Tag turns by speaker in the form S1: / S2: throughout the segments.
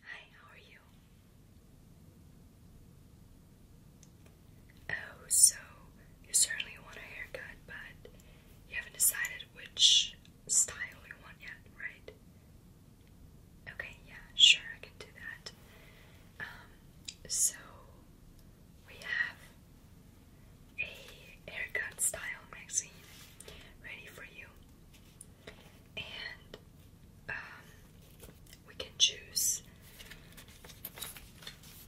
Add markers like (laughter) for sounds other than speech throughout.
S1: Hi, how are you? Oh, so you certainly want a haircut, but you haven't decided which style you want yet, right? Okay, yeah, sure, I can do that. Um, so we have a haircut style magazine ready for you and um, we can choose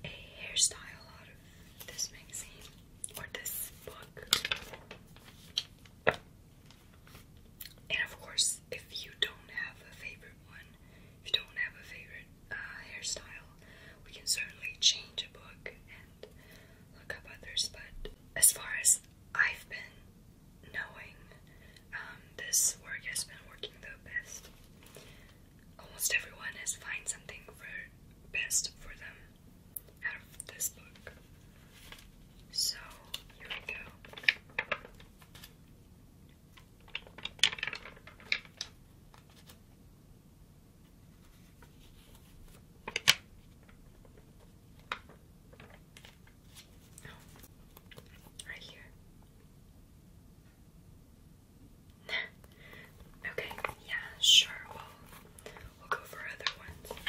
S1: a hairstyle out of this magazine or this book. And of course, if you don't have a favorite one, if you don't have a favorite uh, hairstyle, we can certainly change a book and look up others. But as far as because I've been knowing um, this work has been working the best. Almost everyone has find something for best for them out of this book. So here we go. Oh, right here. (laughs) okay, yeah, sure. we we'll go for other ones.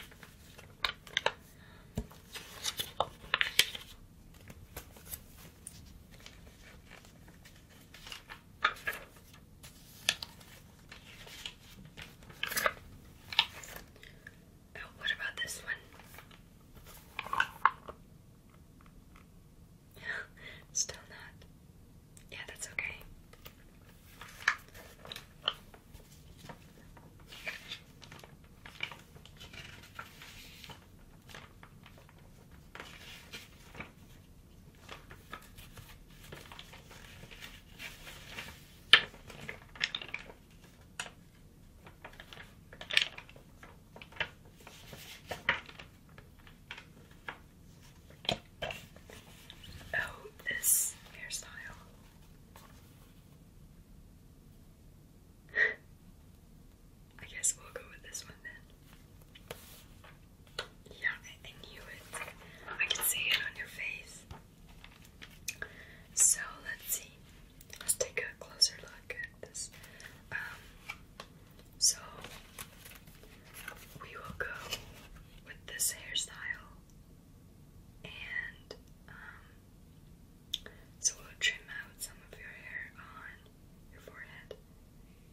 S1: Oh, what about this one? (gasps) Still not. Yeah, that's okay. Oh, this hairstyle. I guess we'll go with this one then. Yeah, I, knew it. I can see it on your face. So let's see. Let's take a closer look at this. Um, so we will go with this hairstyle, and um, so we'll trim out some of your hair on your forehead,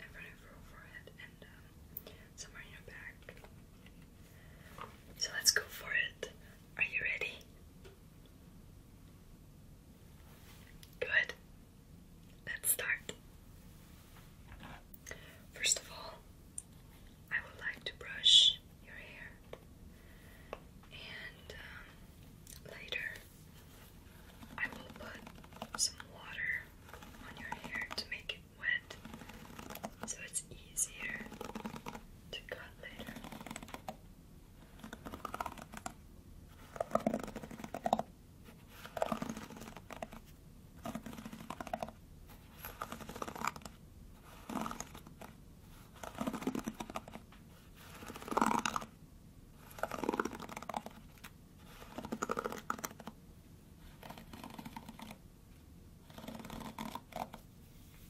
S1: in front of your forehead, and um, somewhere in your back. So let's go for it. Are you ready? Good. Let's start. First of all, I would like to brush your hair, and um, later I will put some water on your hair to make it wet so it's easier to cut later.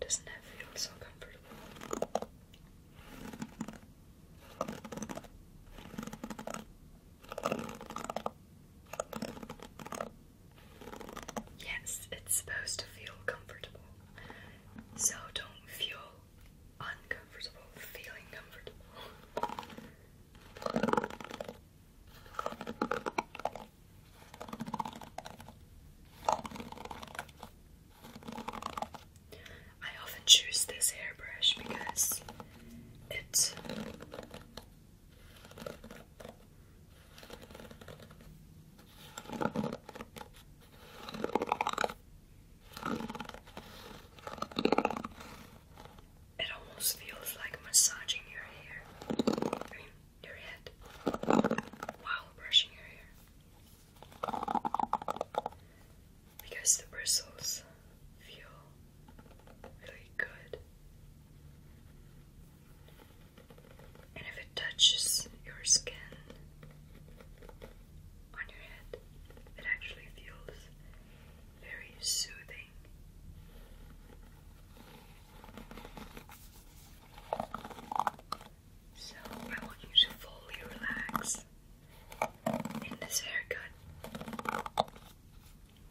S1: Doesn't that feel so comfortable? Yes, it's supposed to feel comfortable. So don't feel uncomfortable feeling comfortable. I often choose this hairbrush because it it almost feels like massaging your hair. your head while brushing your hair. Because the bristles feel really good. And if it touches your skin on your head, it actually feels very soothing. So I want you to fully relax in this haircut.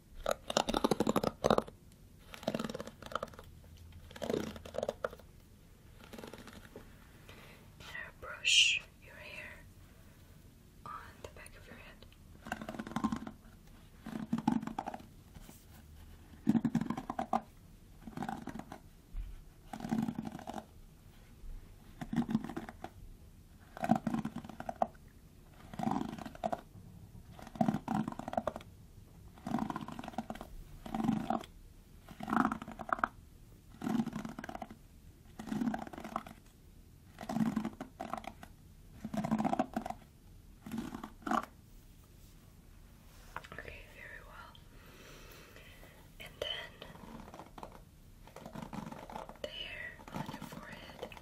S1: And brush your hair on the back of your head. Okay, very well. And then there on your forehead.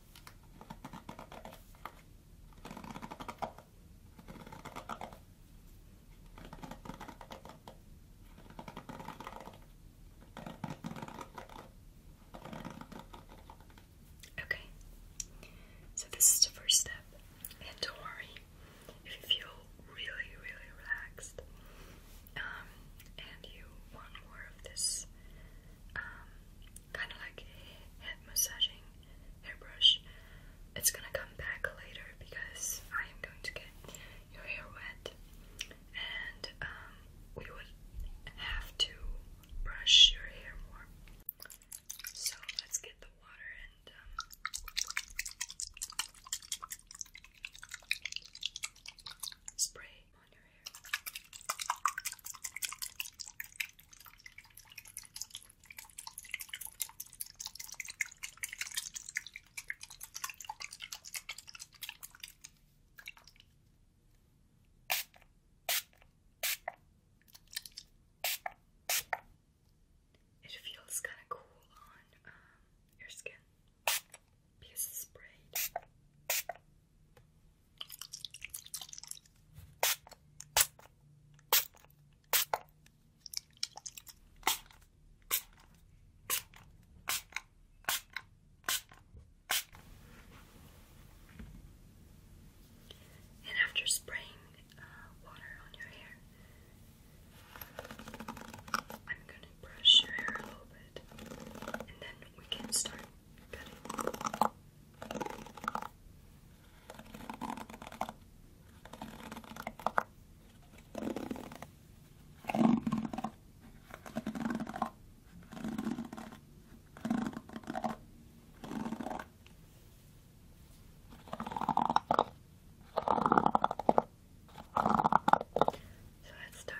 S1: Okay, so this is the first step, and don't worry if you feel really, really relaxed um, and you want more of this um, kind of like head massaging, hairbrush. It's gonna come back later because I am going to get your hair wet, and um, we would have to brush your hair more. So let's get the water and. Um, spray on her It feels kind of cool on um, your skin because sprayed. And after spraying uh, water on your hair, I'm going to brush your hair a little bit and then we can start Got it. So let's start.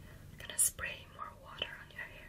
S1: I'm gonna spray more water on your hair.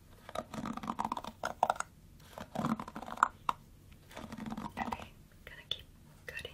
S1: Okay, gonna keep cutting.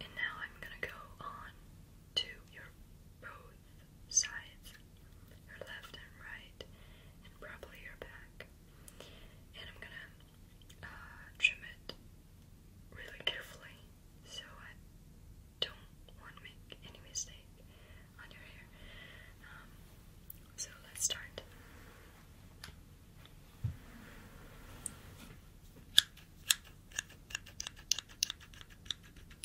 S1: And now I'm going to go on to your rose both sides, your left and right, and probably your back. And I'm gonna uh, trim it really carefully so I don't want to make any mistake on your hair. Um, so let's start.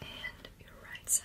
S1: and your right side.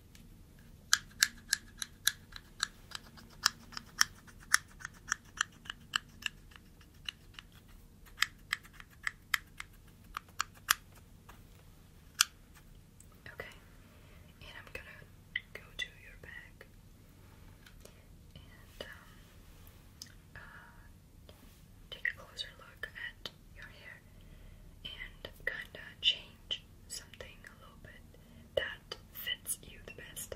S1: Okay, and I'm gonna go to your back and um, uh, take a closer look at your hair and kinda change something a little bit that fits you the best.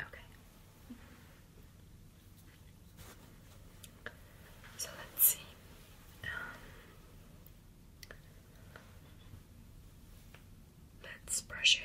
S1: Okay. So let's see. Um, Let's brush hair.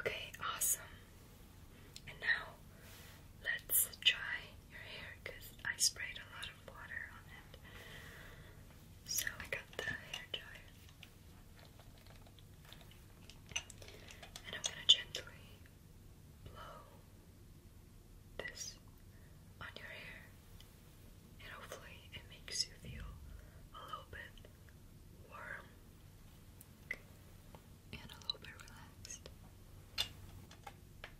S1: Okay, awesome. And now let's try your hair because I sprayed a lot of water on it. So I got the hair dryer. And I'm gonna gently blow this on your hair, and hopefully, it makes you feel a little bit warm and a little bit relaxed.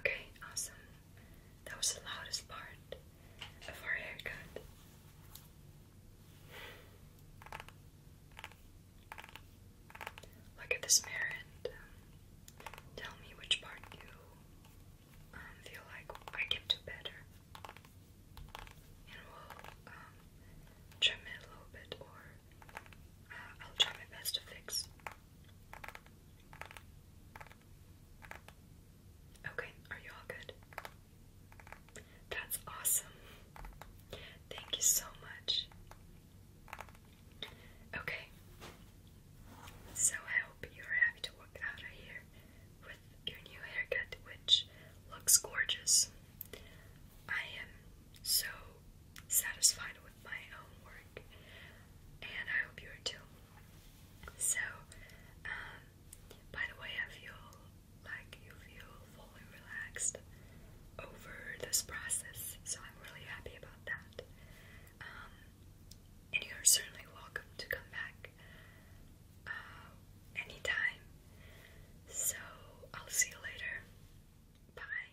S1: Okay, awesome. That was the loudest part of our haircut. Look at this mirror um, tell me which part you um, feel like I can do better. And we'll um, trim it a little bit, or uh, I'll try my best to fix. Okay, are you all good? That's awesome. Thank you so much. Okay. So I hope you're happy to walk out of here with your new haircut, which looks gorgeous. I am so satisfied with my own work, and I hope you are too. So, um, by the way, I feel like you feel fully relaxed over this process, so I'm really happy about that. Um, and you're certainly welcome to come back uh, anytime. So I'll see you later. Bye.